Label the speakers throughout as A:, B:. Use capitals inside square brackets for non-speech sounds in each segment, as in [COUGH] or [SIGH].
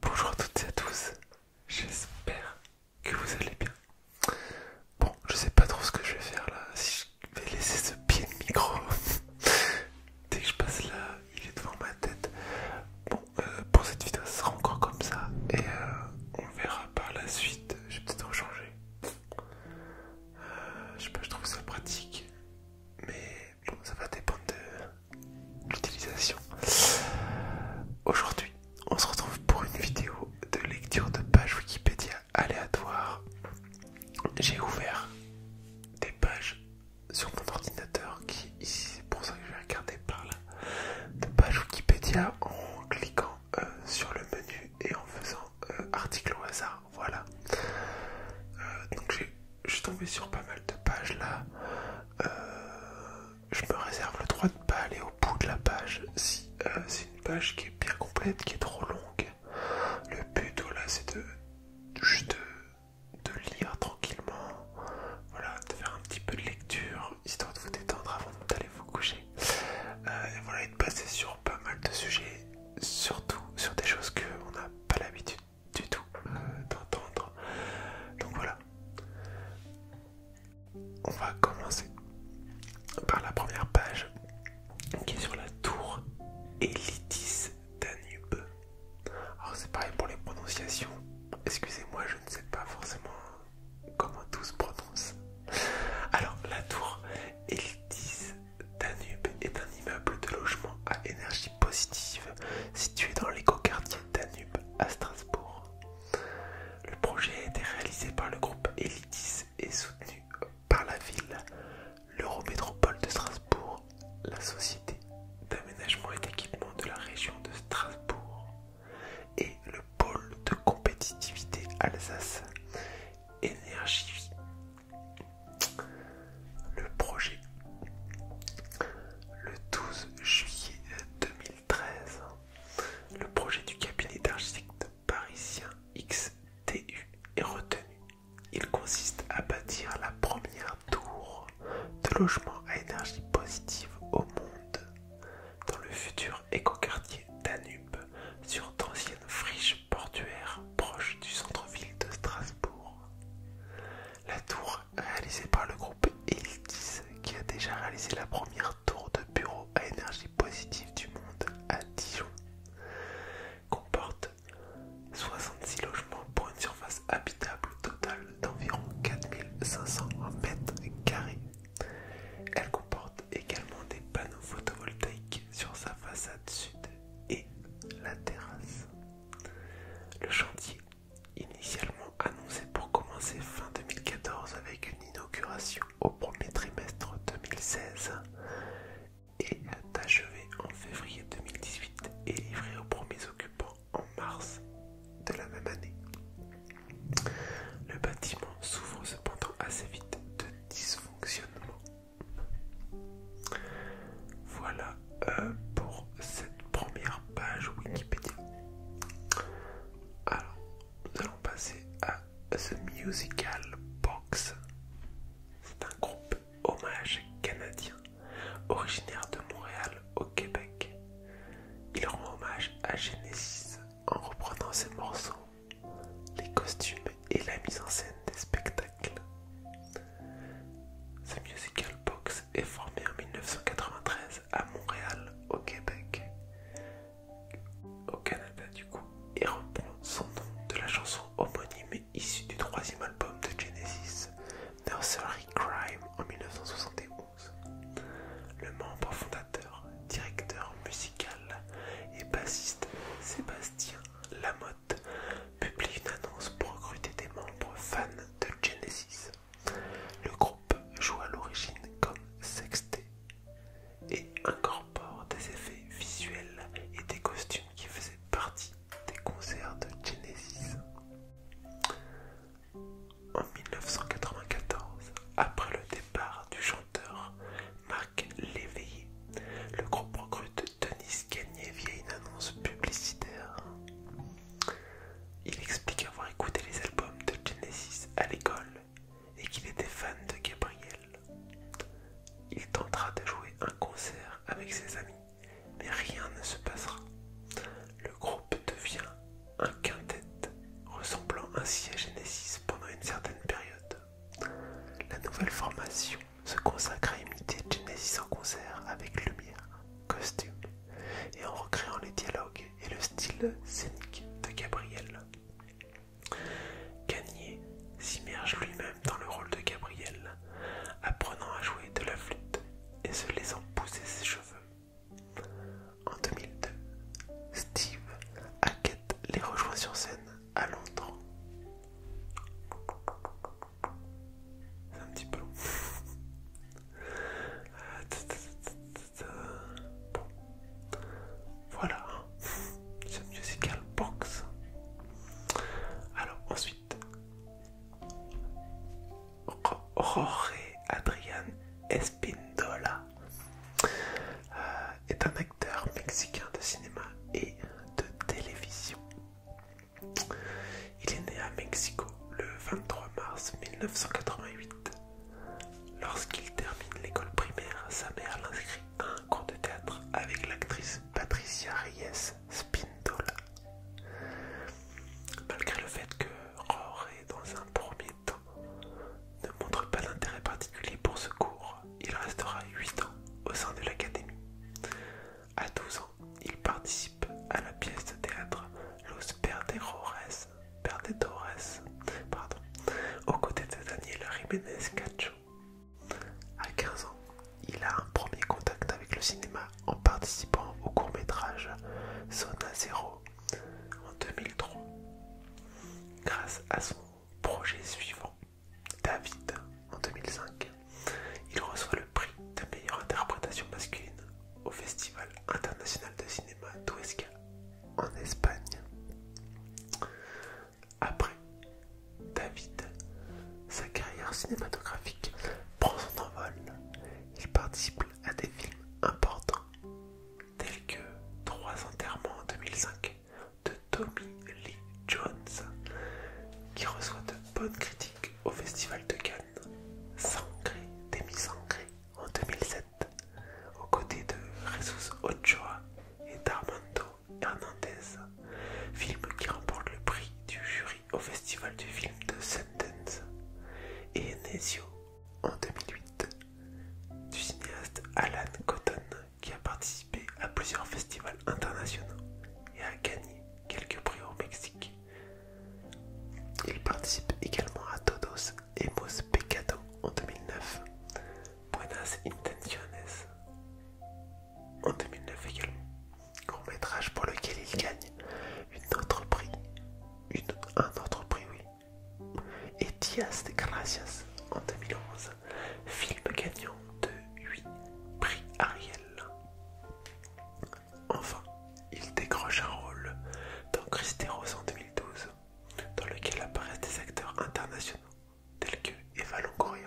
A: Bonjour à toutes et à tous, j'espère que vous allez bien. Bon, je sais pas trop ce que je vais faire là, si je vais laisser ce pied de micro. [LAUGHS] Dès que je passe là, il est devant ma tête. Bon, euh, pour cette vidéo, ça sera encore comme ça et euh, on verra par la suite. Je vais peut-être en changer. Euh, je sais pas, je trouve ça pratique, mais ça va dépendre de l'utilisation. Aujourd'hui, on se retrouve pour une vidéo de lecture de pages Wikipédia aléatoire. J'ai ouvert des pages sur mon ordinateur qui ici c'est pour ça que je vais regarder par là de pages Wikipédia en cliquant euh, sur le menu et en faisant euh, article au hasard voilà euh, donc j'ai tombé sur pas mal de pages là euh, je me réserve le droit de ne pas aller au bout de la page si euh, c'est une page qui est bien complète, qui est trop longue. Le but, voilà, c'est de juste de, lire tranquillement, voilà, de faire un petit peu de lecture, histoire de vous détendre avant d'aller vous coucher. Euh, voilà, et de passer sur pas mal de sujets, surtout sur des choses qu'on n'a pas l'habitude du tout euh, d'entendre. Donc voilà. On va commencer par la première page qui est sur la tour Elitis Danube. Alors c'est pareil pour les prononciations. Excusez-moi, je ne sais pas forcément comment tout se prononce. Alors la tour Elitis Danube est un immeuble de logement à énergie positive située dans l'écoquartier Danube à Strasbourg. Le projet a été réalisé par le groupe Elitis et soutenu par la ville, l'Eurométropole de Strasbourg, la Société d'aménagement et d'équipement de la région de Strasbourg et le pôle de compétitivité Alsace Énergie. Le projet le 12 juillet 2013, le projet du cabinet d'architectes parisien XTU est retenu. Il consiste à bâtir la première tour de logement à énergie positive au monde dans le futur écoquartier Danube sur d'anciennes friches portuaires proches du centre-ville de Strasbourg. La réalisé par le groupe Eltis qui a déjà réalisé la première tour de bureau à énergie positive du monde à Dijon. Comporte 66 logements pour une surface habitable totale d'environ 4500 m2. Elle comporte également des panneaux photovoltaïques sur sa façade sud et la terrasse. Le chantier Initialement annoncé pour commencer fin 2014 avec une inauguration au premier trimestre 2016 et achevé en février 2018 et livré aux premiers occupants en mars de la même année. Le bâtiment s'ouvre cependant assez vite de dysfonctionnement. Voilà euh, pour cette première page Wikipédia. Alors, nous allons passer à The Musical Box. C'est un groupe hommage canadien, originaire de Montréal au Québec. Il rend hommage à Genesis en reprenant ses morceaux, les costumes et la mise en scène des spectacles. The Musical Box est formé en 1993 à Montréal, au Québec, au Canada du coup, et reprend son nom de la chanson homonyme issue du troisième album de Genesis, Nursery Crime, en 1971. Le membre fondateur, directeur musical et bassiste Sébastien Lamotte publie une annonce pour recruter des membres fans de Genesis. Le groupe joue à l'origine comme sextet et incorpore des effets visuels et des costumes qui faisaient partie des concerts de Genesis. En 1994, après le départ du chanteur Marc Léveillé, le groupe recrute Denis Gagné via une annonce publicitaire. Il explique avoir écouté les albums de Genesis à l'école et qu'il était fan de Gabriel. Il tentera de jouer un concert avec ses amis, mais rien ne se passera. Le groupe devient un quintet, ressemblant ainsi à Genesis pendant une certaine période. La nouvelle formation se consacre à imiter Genesis en concert avec Lumière, costume et en recréant les dialogues et le style scénique de Gabriel. Gagné s'immerge lui-même dans le rôle de Gabriel, apprenant à jouer de la flûte et se laissant pousser ses cheveux. En 2002, Steve Hackett les rejoint sur scène à Londres. C'est un petit peu long. Voilà. C'est musical box. Alors ensuite. Jorge Adrián Espindola euh, est un acteur mexicain de cinéma et de télévision. Il est né à Mexico le 23 mars 1988. Lorsqu'il termine l'école primaire, sa mère l'inscrit à un cours de théâtre avec l'actrice Patricia Reyes Spindola. Malgré le fait que Rory, dans un premier temps, ne montre pas d'intérêt particulier pour ce cours, il restera 8 ans au sein de l'académie. À 12 ans, il participe à la pièce de théâtre Los Perdedores, aux côtés de Daniel Jiménez Cacho. À 15 ans, il a un premier contact avec le cinéma en participant au court-métrage Zona Zero en 2003. Grâce à son projet suivant, David en 2005, il reçoit le prix de meilleure interprétation masculine au Festival international de cinéma d'Huesca en Espagne. Après David, sa carrière cinématographique prend son envol. Il participe à des films importants tels que Trois enterrements en 2005 de Tommy Lee Jones, qui reçoit de bonnes critiques au Festival de Cannes, Sangré, Demi Sangré en 2007, aux côtés de Jesus Ochoa et d'Armando Hernandez, film qui remporte le prix du jury au Festival du film de Sundance, et Enesio en 2008, du cinéaste Alan Cotton qui a participé à plusieurs festivals internationaux et a gagné quelques prix au Mexique il participe également à Todos Hemos Pecado en 2009, Buenas Intenciones en 2009 également, court métrage pour lequel il gagne une un autre prix oui, et de Gracias en 2011, film gagnant de 8 prix Ariel. Enfin, il décroche un rôle dans Christy en 2012, dans lequel apparaissent des acteurs internationaux tels que Eva Longoria,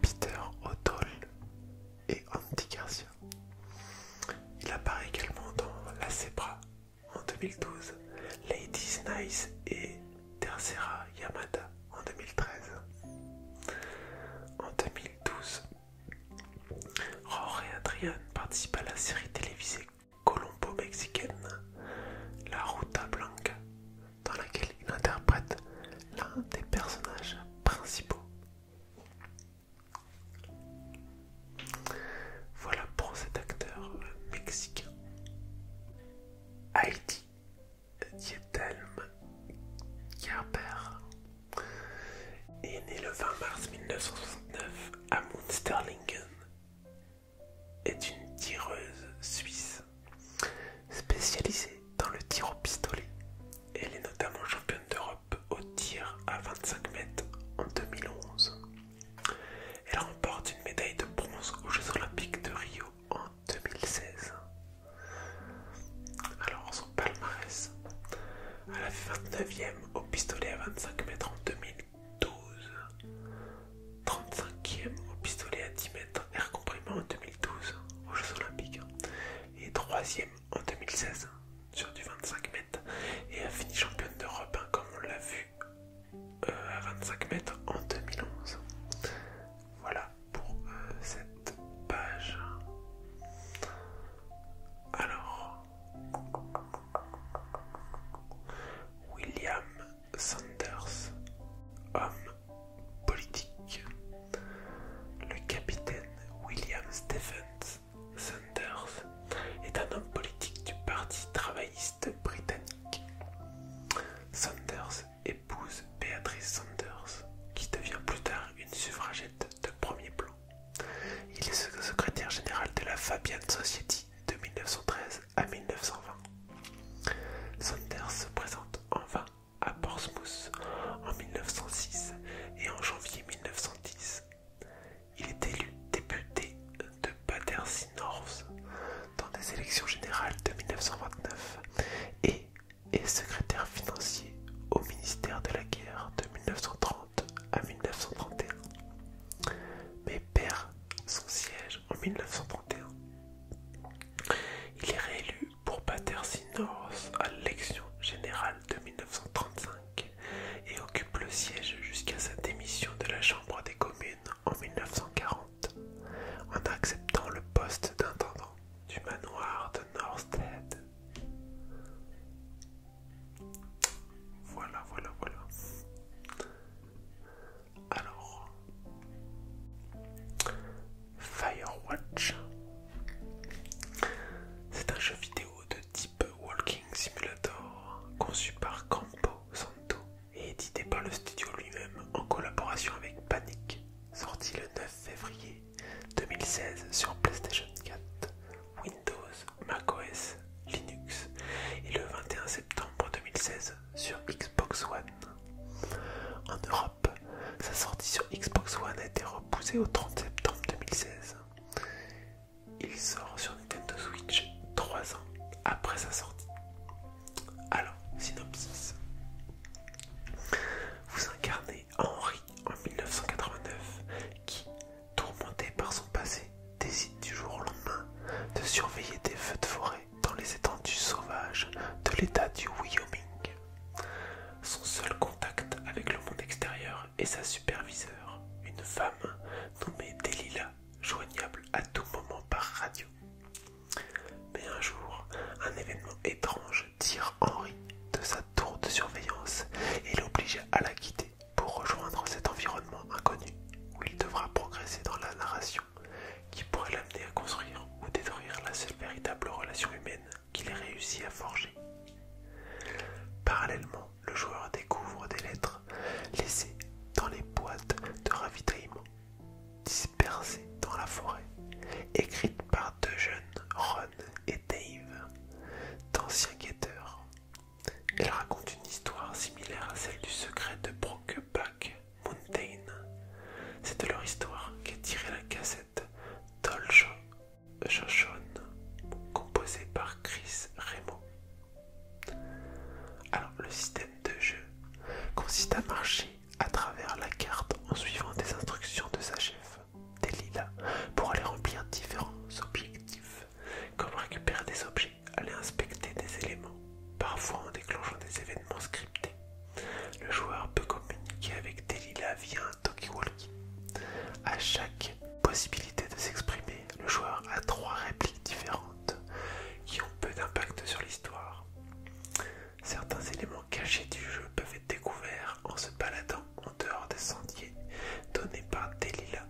A: Peter O'Toole et Andy Garcia. Il apparaît également dans La Zebra en 2012, Ladies Nice et Tercera Yamada en 2013. En 2012, Rory et Adrian participent à la série télévisée colombo-mexicaine La Ruta Blanca, dans laquelle il interprète l'un des personnages principaux. Voilà pour cet acteur mexicain. Heidi Diethelm Gerber et est le 20 mars 1969 à Munsterlingen, est une tireuse suisse spécialisée dans le tir au pistolet. Elle est notamment championne d'Europe au tir à 25 mètres en 2011. Elle remporte une médaille de bronze aux Jeux Olympiques de Rio en 2016. Alors son palmarès, elle a fait 29e au pistolet à 25 mètres en 2012, 35e au pistolet à 10 mètres air comprimé en 2012 aux Jeux Olympiques et 3e en 2016 sur du 25 mètres et a fini championne d'Europe hein, comme on l'a vu euh, à 25 mètres en 2011. Voilà pour euh, cette page. Alors, William Sanders, homme politique. Le capitaine William Stephens Sanders est un homme politique du Parti travailliste britannique. Sanders épouse Beatrice Sanders, qui devient plus tard une suffragette de premier plan. Il est secrétaire général de la Fabian Society de 1913 à 1920. Saunders se présente en vain à Portsmouth en 1906 et en janvier 1910. Il est élu député de Battersea North dans des élections générales de 1929 et et secrétaire financier au ministère de la Guerre de 1930 à 1931, mais perd son siège en 1931. Il est réélu pour Battersea North à l'élection générale de 1935 et occupe le siège jusqu'à sa démission de la Chambre des communes en 1940 en acceptant le poste d'intendant du manoir de Northstead. Voilà, voilà, voilà. Alors, Firewatch, c'est un jeu vidéo de type Walking Simulator conçu par Campo Santo et édité par le studio lui-même en collaboration avec Panic, sorti le 9 février 2016 sur PlayStation 4, Windows, macOS, Linux et le 21 septembre 2016 sur Xbox One. En Europe, sa sortie sur Xbox One a été repoussée au 30 septembre 2016. Il sort sur Nintendo Switch 3 ans après sa sortie. Alors, synopsis. Vous incarnez Henry, en 1989 qui, tourmenté par son passé, décide du jour au lendemain de surveiller des feux de forêt dans les étendues sauvages de l'état du Wyoming. Son seul contact avec le monde extérieur est sa superviseure, une femme nommée Delilah, joignable à tout moment par radio. Mais un jour, un événement étrange tire Henri de sa tour de surveillance et l'oblige à la quitter pour rejoindre cet environnement inconnu où il devra progresser dans la narration qui pourrait l'amener à construire ou détruire la seule véritable relation humaine qu'il ait réussi à forger. Parallèlement, le joueur découvre des lettres laissées dans les boîtes de ravitaillement dispersées dans la forêt, écrites par deux jeunes et Dave, d'anciens guetteurs. Elle raconte une histoire similaire à celle du secret de Brokeback Mountain. C'est de leur histoire qu'est tirée la cassette Dolce Shoshone, composée par Chris Remo. Alors, le système de jeu consiste à marcher à travers la carte en suivant des instructions de sa chef des pour aller remplir différents objectifs, comme récupérer des objets, aller inspecter des éléments, parfois en déclenchant des événements scriptés. Le joueur peut communiquer avec des via un talkie-walkie. À chaque possibilité de s'exprimer, le joueur a trois répliques différentes qui ont peu d'impact sur l'histoire. Certains éléments cachés du jeu peuvent être découverts en se baladant en dehors des sentiers donnés par Delilah,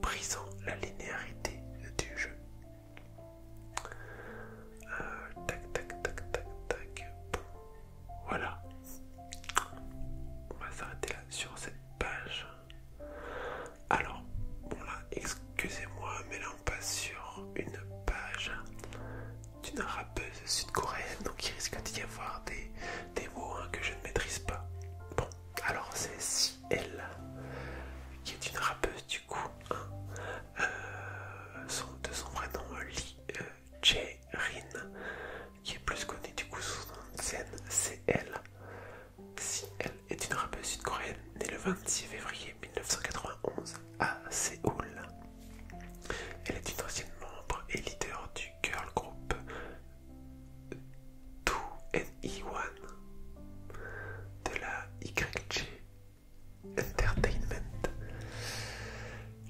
A: brisant la linéarité du jeu. tac, tac, tac, tac, tac. voilà. On va s'arrêter là sur cette page. Alors, bon là, excusez-moi, mais là on passe sur une page d'une rappeuse sud-coréenne, donc il risque d'y avoir des, mots hein, que je ne maîtrise pas. Bon, alors c'est si elle, qui est une rappeuse du coup, hein. euh, son, de son vrai nom euh, Lee euh, Rin, qui est plus connue du coup sous son nom de scène, c'est elle. Si elle est une rappeuse sud-coréenne née le 26 février 1991 à Séoul. Elle est une ancienne membre et leader du girl group 2NE1 e de la YG Entertainment.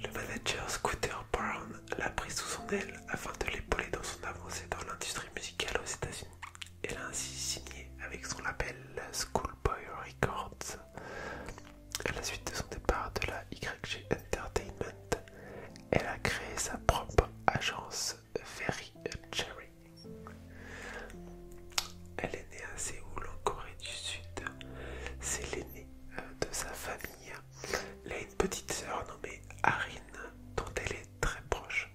A: Le manager Scooter Brown l'a pris sous son aile afin de l'épauler dans son avancée dans l'industrie musicale aux États-Unis. Elle a ainsi signé avec son label Schoolboy Records à la suite de son départ de la YG Entertainment, elle a créé sa propre agence Very Cherry. Elle est née à Séoul, en Corée du Sud. C'est l'aînée euh, de sa famille. Elle a une petite sœur nommée Harin, dont elle est très proche.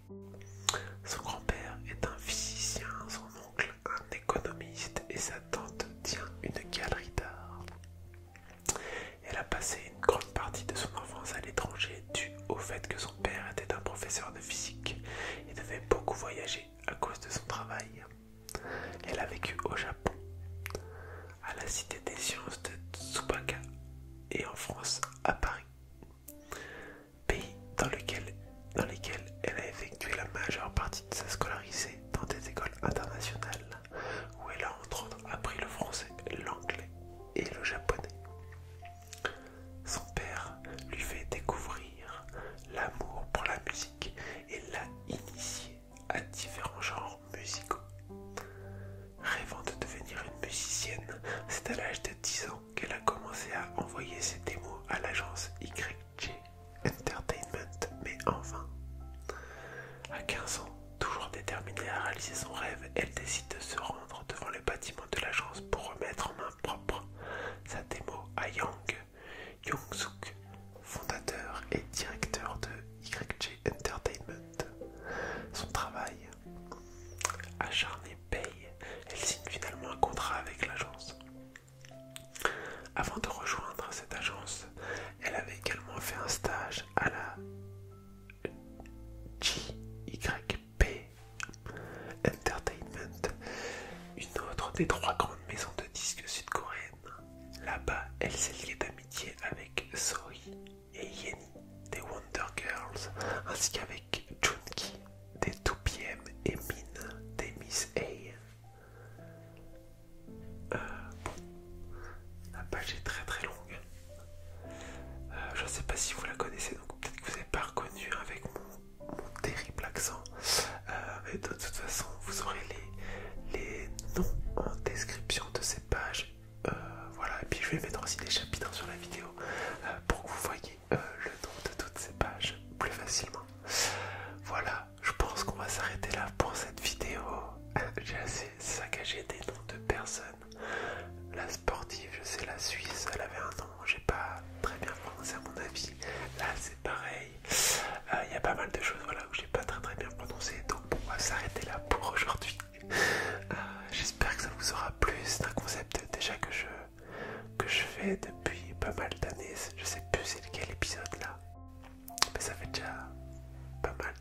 A: Son grand-père est un physicien, son oncle un économiste et sa tante tient une galerie d'art. Elle a passé une grande partie de son enfance à l'étranger dû au fait que son père était un professeur de physique et devait beaucoup voyager à cause de son travail. Elle a vécu au Japon, à la Cité des sciences de Tsubaka et en France à Paris, pays dans, lequel, dans lesquels elle a effectué la majeure partie de sa scolarité dans des écoles internationales où elle a entre autres appris le français, l'anglais et le japonais. Son père lui fait découvrir l'amour pour la musique et l'a initiée à différents genres musicaux. Rêvant de devenir une musicienne, c'est à l'âge de 10 ans qu'elle a commencé à envoyer ses démos à l'agence Y J Entertainment, mais enfin. À 15 ans, toujours déterminée à réaliser son rêve, elle décide de se rendre devant le bâtiment de l'agence pour remettre en main propre sa démo à Yang Young-suk, fondateur et directeur de YG Entertainment. Son travail acharné paye, elle signe finalement un contrat avec l'agence. Avant de rejoindre cette agence, elle avait également fait un stage à la GYP Entertainment, une autre des trois grandes maisons de disques sud-coréennes. Là-bas, elle s'est liée d'amitié avec Sohee et Yeni des Wonder Girls, ainsi qu'avec Junki des 2PM et Min des Miss A. Euh, la page est très très longue. Euh, je ne sais pas si vous la connaissez, donc peut-être que vous n'avez pas reconnu avec mon, terrible accent. Euh, mais de toute façon, vous aurez les, noms en description de ces pages. voilà, et puis je vais mettre aussi des chapitres sur la vidéo pour que vous voyez le nom de toutes ces pages plus facilement. Voilà, je pense qu'on va s'arrêter là pour cette vidéo. [LAUGHS] J'ai assez saccagé des noms de personnes. La sportive, je sais, la Suisse, elle avait un nom, j'ai pas très bien prononcé à mon avis. Là, c'est pareil. Euh, il y a pas mal de choses voilà, où j'ai pas très très bien prononcé. Donc, on va s'arrêter là pour aujourd'hui. Euh, j'espère que ça vous aura plu. C'est un concept déjà que je, que je fais depuis pas mal d'années. Je sais plus c'est lequel épisode là. Mais ça fait déjà pas mal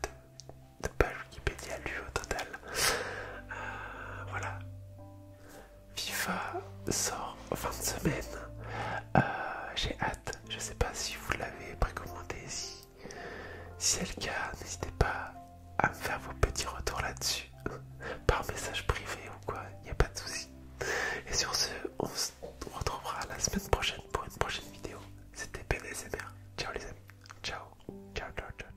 A: de, pages Wikipédia lues au total. Euh, voilà. FIFA sort fin de semaine. Euh, j'ai hâte. Je sais pas si vous l'avez précommandé. Si, si c'est le cas, n'hésitez pas à me faire vos petits retours là-dessus. [LAUGHS] Par message privé ou quoi, il n'y a pas de souci. Et sur ce, on se retrouvera la semaine prochaine pour une prochaine vidéo. C'était BDSMR. Ciao les amis. Ciao, ciao, ciao, ciao.